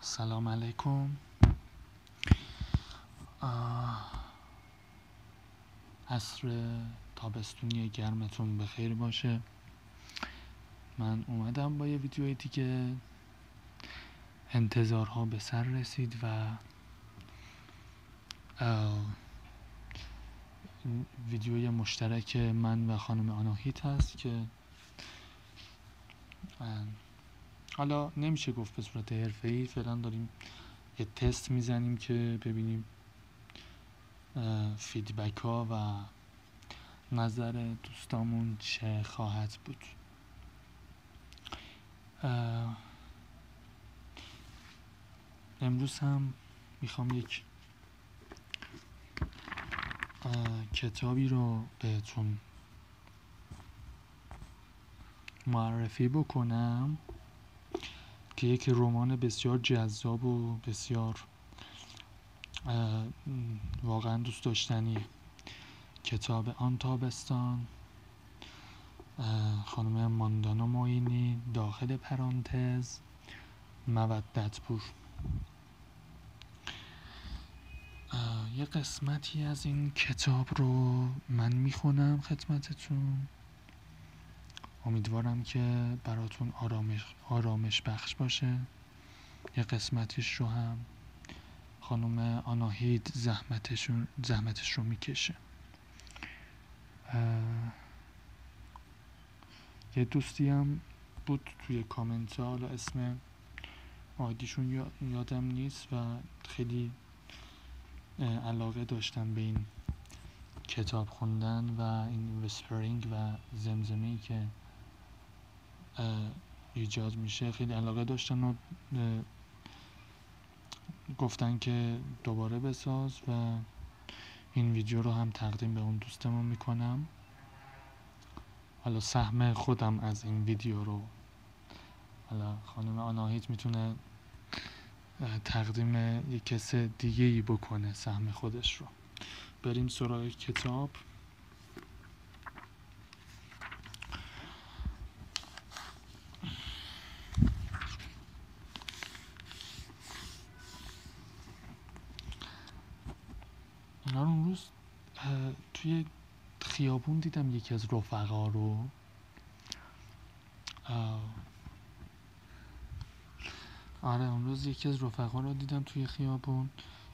سلام علیکم عصر تابستونی گرمتون به خیر باشه من اومدم با یه ویدیو دیگه انتظارها به سر رسید و ویدیوی مشترک من و خانم آناهیت هست که حالا نمیشه گفت به صورت حرفه‌ای فعلا داریم یه تست میزنیم که ببینیم فیدبک ها و نظر دوستامون چه خواهد بود امروز هم میخوام یک کتابی رو بهتون معرفی بکنم که یک رمان بسیار جذاب و بسیار واقعا دوست داشتنی کتاب آن تابستان خانم ماندانا موینی داخل پرانتز مودت پور یه قسمتی از این کتاب رو من میخونم خدمتتون امیدوارم که براتون آرامش, آرامش بخش باشه یه قسمتیش رو هم خانم آناهید زحمتشون زحمتش رو میکشه یه دوستی هم بود توی کامنت حالا اسم آیدیشون یادم نیست و خیلی علاقه داشتم به این کتاب خوندن و این ویسپرینگ و زمزمی که ایجاد میشه خیلی علاقه داشتن و گفتن که دوباره بساز و این ویدیو رو هم تقدیم به اون دوستمون میکنم حالا سهم خودم از این ویدیو رو حالا خانم آناهیت میتونه تقدیم یک کس دیگه ای بکنه سهم خودش رو بریم سراغ کتاب اینا اون روز توی خیابون دیدم یکی از رفقا رو آره اون روز یکی از رفقا رو دیدم توی خیابون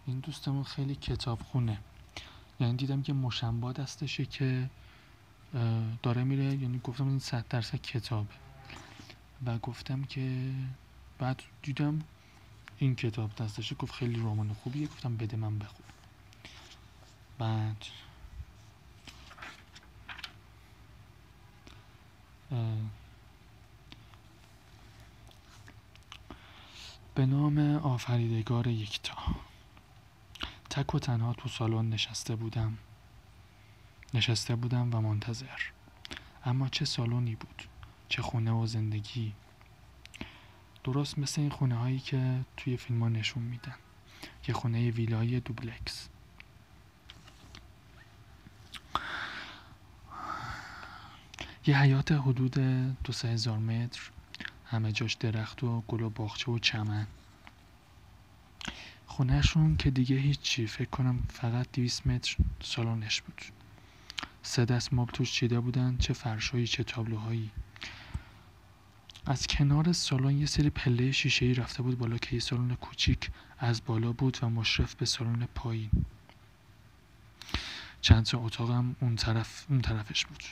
این دوستمون خیلی کتاب خونه یعنی دیدم که مشنبا دستشه که داره میره یعنی گفتم این صد درصد کتاب و گفتم که بعد دیدم این کتاب دستشه گفت خیلی رمان خوبیه گفتم بده من بخون بعد به نام آفریدگار یکتا تک و تنها تو سالن نشسته بودم نشسته بودم و منتظر اما چه سالونی بود چه خونه و زندگی درست مثل این خونه هایی که توی فیلم ها نشون میدن یه خونه ویلای دوبلکس یه حیات حدود دو هزار متر همه جاش درخت و گل و باغچه و چمن خونهشون که دیگه هیچی فکر کنم فقط دیویس متر سالنش بود سه دست مبل توش چیده بودن چه فرشایی چه تابلوهایی از کنار سالن یه سری پله شیشه رفته بود بالا که یه سالن کوچیک از بالا بود و مشرف به سالن پایین چند تا اتاقم اون طرف اون طرفش بود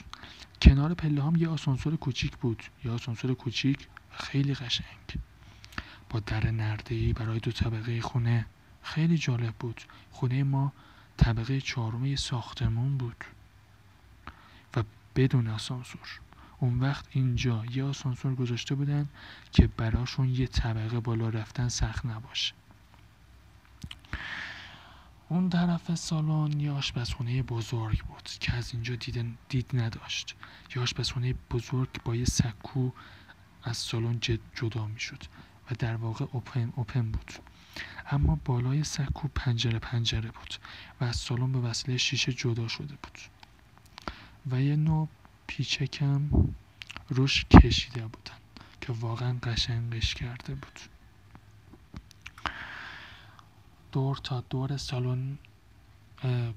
کنار پله هم یه آسانسور کوچیک بود یه آسانسور کوچیک و خیلی قشنگ با در نرده برای دو طبقه خونه خیلی جالب بود خونه ما طبقه چارمه ساختمون بود و بدون آسانسور اون وقت اینجا یه آسانسور گذاشته بودن که براشون یه طبقه بالا رفتن سخت نباشه اون طرف سالن یه آشپزخونه بزرگ بود که از اینجا دید, دید نداشت یه آشپزخونه بزرگ با یه سکو از سالن جدا میشد و در واقع اوپن اوپن بود اما بالای سکو پنجره پنجره بود و از سالن به وسیله شیشه جدا شده بود و یه نوع پیچکم روش کشیده بودن که واقعا قشنگش کرده بود دور تا دور سالن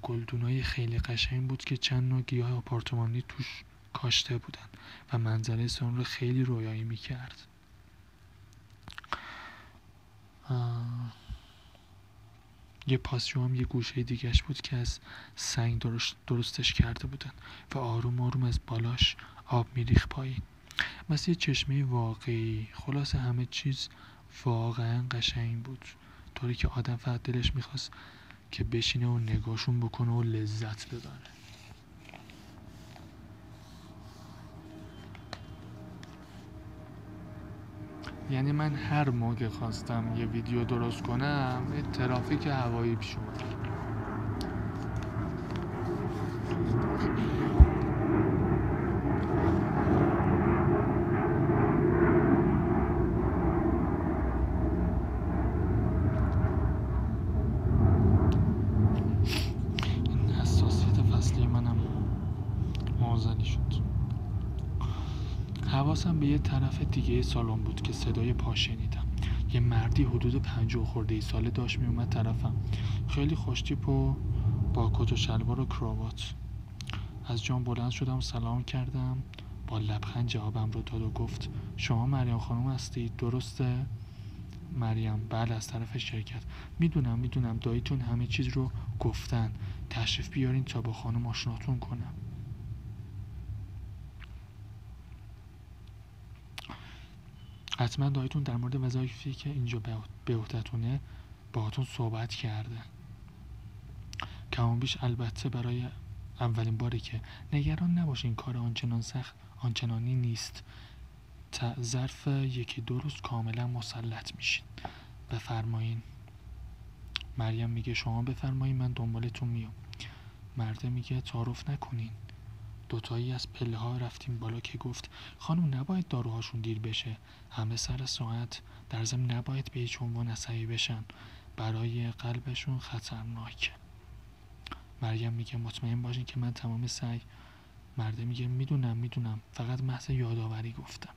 گلدونای خیلی قشنگ بود که چند نوع گیاه آپارتمانی توش کاشته بودن و منظره سالن رو خیلی رویایی کرد. یه پاسیو هم یه گوشه دیگهش بود که از سنگ درستش کرده بودن و آروم آروم از بالاش آب میریخ پایین مثل یه چشمه واقعی خلاص همه چیز واقعا قشنگ بود طوری که آدم فقط دلش میخواست که بشینه و نگاشون بکنه و لذت ببره یعنی من هر موقع خواستم یه ویدیو درست کنم یه ترافیک هوایی این فصلی منم موازنی شد حواسم به یه طرف دیگه سالان بود که صدای پاشنیدم یه مردی حدود پنج خورده سال ساله داشت میومد طرفم خیلی خوشتیپ و با کت و شلوار و کراوات از جام بلند شدم سلام کردم با لبخند جوابم رو داد و گفت شما مریم خانم هستید درسته مریم بله از طرف شرکت میدونم میدونم داییتون همه چیز رو گفتن تشریف بیارین تا با خانم آشناتون کنم حتما دایتون در مورد وظایفی که اینجا به عهدهتونه باهاتون صحبت کرده کمان بیش البته برای اولین باری که نگران نباشین کار آنچنان سخت آنچنانی نیست تا ظرف یکی دو روز کاملا مسلط میشین بفرمایین مریم میگه شما بفرمایین من دنبالتون میام مرده میگه تعارف نکنین دوتایی از پله ها رفتیم بالا که گفت خانم نباید داروهاشون دیر بشه همه سر ساعت در ضمن نباید به هیچ عنوان عصبی بشن برای قلبشون خطرناکه. مریم میگه مطمئن باشین که من تمام سعی مرده میگه میدونم میدونم فقط محض یادآوری گفتم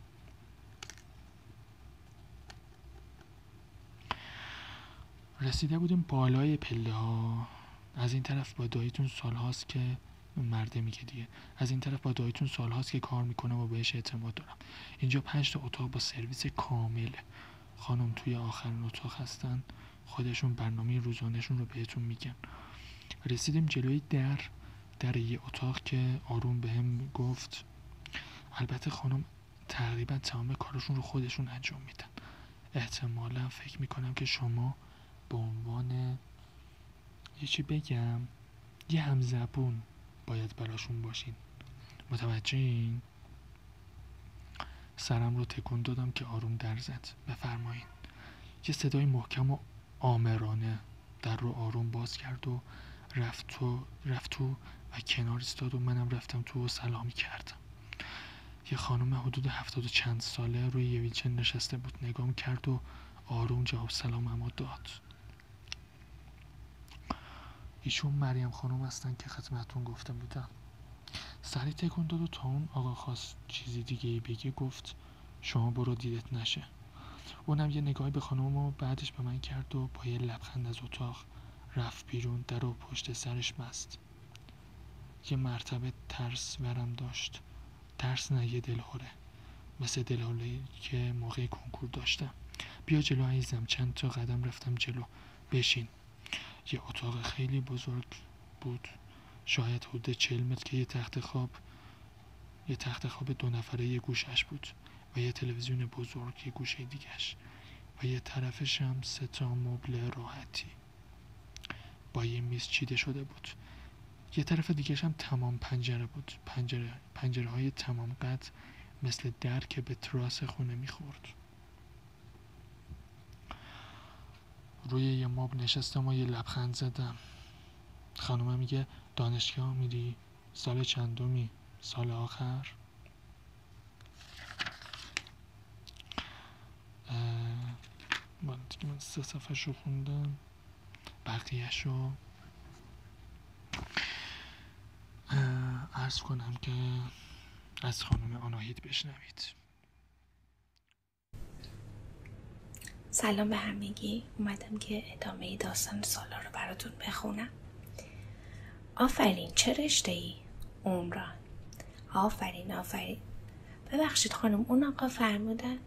رسیده بودیم بالای پله ها از این طرف با دایتون سال هاست که مرده میگه دیگه از این طرف با دایتون سال هاست که کار میکنه و بهش اعتماد دارم اینجا پنج تا اتاق با سرویس کامل خانم توی آخرین اتاق هستن خودشون برنامه روزانهشون رو بهتون میگن رسیدیم جلوی در در یه اتاق که آروم بهم گفت البته خانم تقریبا تمام کارشون رو خودشون انجام میدن احتمالا فکر میکنم که شما به عنوان یه چی بگم یه همزبون باید براشون باشین متوجه این سرم رو تکون دادم که آروم در زد بفرمایین یه صدای محکم و آمرانه در رو آروم باز کرد و رفت تو, رفت و کنار استاد و منم رفتم تو و سلامی کردم یه خانم حدود هفتاد و چند ساله روی یه نشسته بود نگام کرد و آروم جواب سلام رو داد ایشون مریم خانم هستن که خدمتون گفته بودم سری تکون داد و تا اون آقا خواست چیزی دیگه بگی گفت شما برو دیدت نشه اونم یه نگاهی به خانم و بعدش به من کرد و با یه لبخند از اتاق رفت بیرون در و پشت سرش مست یه مرتبه ترس ورم داشت ترس نه یه دلهوره مثل دلهوره که موقع کنکور داشتم بیا جلو عیزم چند تا قدم رفتم جلو بشین یه اتاق خیلی بزرگ بود شاید حدود چل متر که یه تخت خواب یه تخت خواب دو نفره یه گوشش بود و یه تلویزیون بزرگ یه گوشه دیگش و یه طرفش هم سه تا مبل راحتی با یه میز چیده شده بود یه طرف دیگرش هم تمام پنجره بود پنجره, پنجره های تمام قد مثل در که به تراس خونه میخورد روی یه ماب نشستم و یه لبخند زدم خانومه میگه دانشگاه میری سال چندمی سال آخر من سه صفحه رو خوندم بقیهش رو ارز کنم که از خانم آناهید بشنوید سلام به همگی اومدم که ادامه داستان سالا رو براتون بخونم آفرین چه رشته ای؟ عمران آفرین آفرین ببخشید خانم اون آقا فرمودن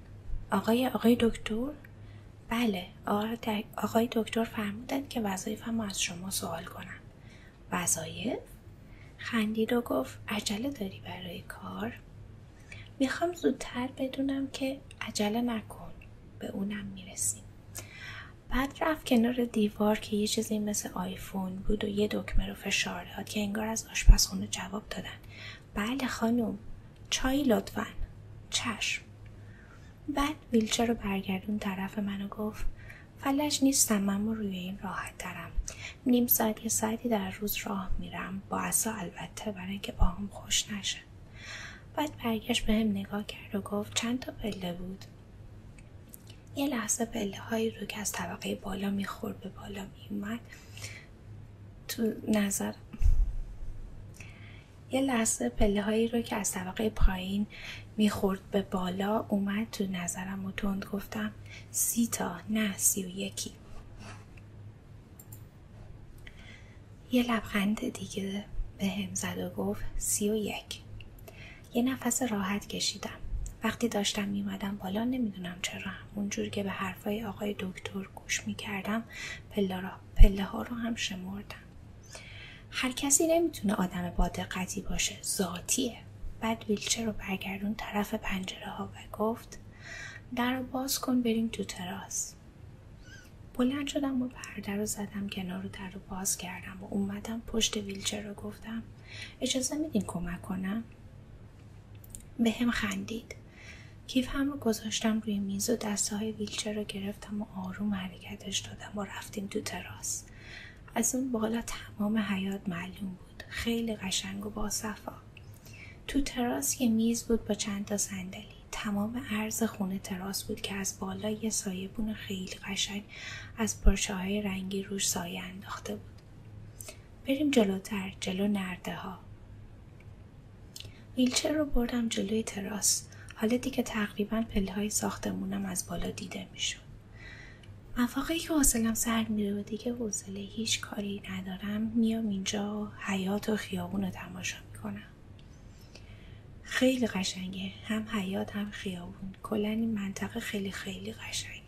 آقای آقای دکتر بله آقای دکتر فرمودن که وظایفم از شما سوال کنم وظایف خندید و گفت عجله داری برای کار میخوام زودتر بدونم که عجله نکن به اونم میرسیم بعد رفت کنار دیوار که یه چیزی مثل فون بود و یه دکمه رو فشار داد که انگار از آشپزخونه جواب دادن بله خانم چای لطفا چشم بعد ویلچر رو برگردون طرف من و گفت فلج نیستم من روی این راحت ترم نیم ساعت یه ساعتی در روز راه میرم با اصا البته برای اینکه باهم خوش نشه بعد برگشت بهم هم نگاه کرد و گفت چند تا پله بود یه لحظه پله هایی رو که از طبقه بالا میخورد به بالا میومد تو نظر یه لحظه پله هایی رو که از طبقه پایین میخورد به بالا اومد تو نظرم و تند گفتم سی تا نه سی و یکی یه لبخند دیگه به هم زد و گفت سی و یک یه نفس راحت کشیدم وقتی داشتم میمدم بالا نمیدونم چرا اونجور که به حرفای آقای دکتر گوش میکردم پله, ها رو هم شمردم هر کسی نمیتونه آدم با دقتی باشه ذاتیه بعد ویلچر رو برگردون طرف پنجره ها و گفت در رو باز کن بریم تو تراس بلند شدم و پرده رو زدم کنار رو در رو باز کردم و اومدم پشت ویلچر رو گفتم اجازه میدین کمک کنم به هم خندید کیف هم رو گذاشتم روی میز و دسته های ویلچر رو گرفتم و آروم حرکتش دادم و رفتیم تو تراس از اون بالا تمام حیات معلوم بود خیلی قشنگ و باصفا تو تراس یه میز بود با چند تا صندلی تمام عرض خونه تراس بود که از بالا یه سایبون خیلی قشنگ از پارچه رنگی روش سایه انداخته بود بریم جلوتر جلو نرده ها ویلچر رو بردم جلوی تراس حالا دیگه تقریبا پله های ساختمونم از بالا دیده میشد مواقعی که حاصلم سر می و دیگه حوصله هیچ کاری ندارم میام اینجا و حیات و خیابون رو تماشا میکنم خیلی قشنگه هم حیات هم خیابون کلا این منطقه خیلی خیلی قشنگه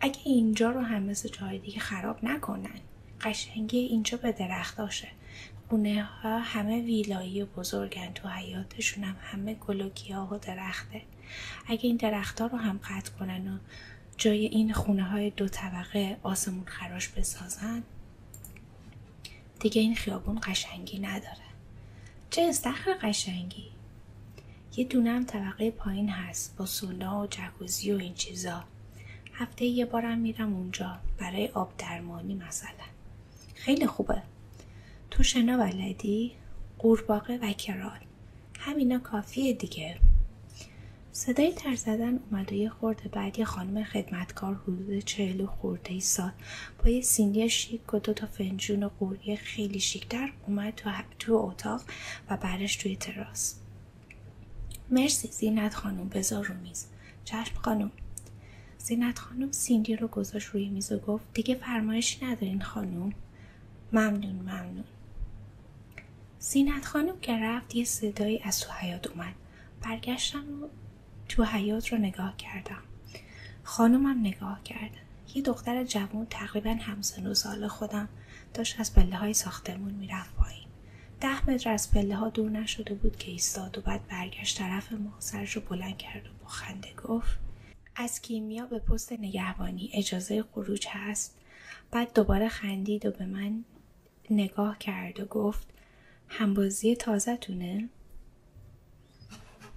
اگه اینجا رو هم مثل جای دیگه خراب نکنن قشنگی اینجا به درختاشه خونه ها همه ویلایی و بزرگن تو حیاتشون هم همه و گیاه و درخته اگه این درخت رو هم قطع کنن و جای این خونه های دو طبقه آسمون خراش بسازن دیگه این خیابون قشنگی نداره چه استخر قشنگی یه دونه هم طبقه پایین هست با سونا و جکوزی و این چیزا هفته یه بارم میرم اونجا برای آب درمانی مثلا خیلی خوبه تو شنا ولدی قورباغه و کرال همینا کافیه دیگه صدای تر زدن اومده یه خورده بعد یه خانم خدمتکار حدود چهل و خورده ای سال با یه سینی شیک و دو تا فنجون و قوریه خیلی شیکتر اومد تو, تو اتاق و برش توی تراس مرسی زینت خانم بذار رو میز چشم خانم زینت خانم سینی رو گذاشت روی میز و گفت دیگه فرمایشی ندارین خانم ممنون ممنون زینت خانم که رفت یه صدایی از تو حیات اومد برگشتم و تو حیات رو نگاه کردم خانمم نگاه کرد یه دختر جوون تقریبا همسن و سال خودم داشت از پله های ساختمون میرفت پایین ده متر از پله ها دور نشده بود که ایستاد و بعد برگشت طرف ما سرش رو بلند کرد و با خنده گفت از کیمیا به پست نگهبانی اجازه خروج هست بعد دوباره خندید و به من نگاه کرد و گفت همبازی تازه تونه؟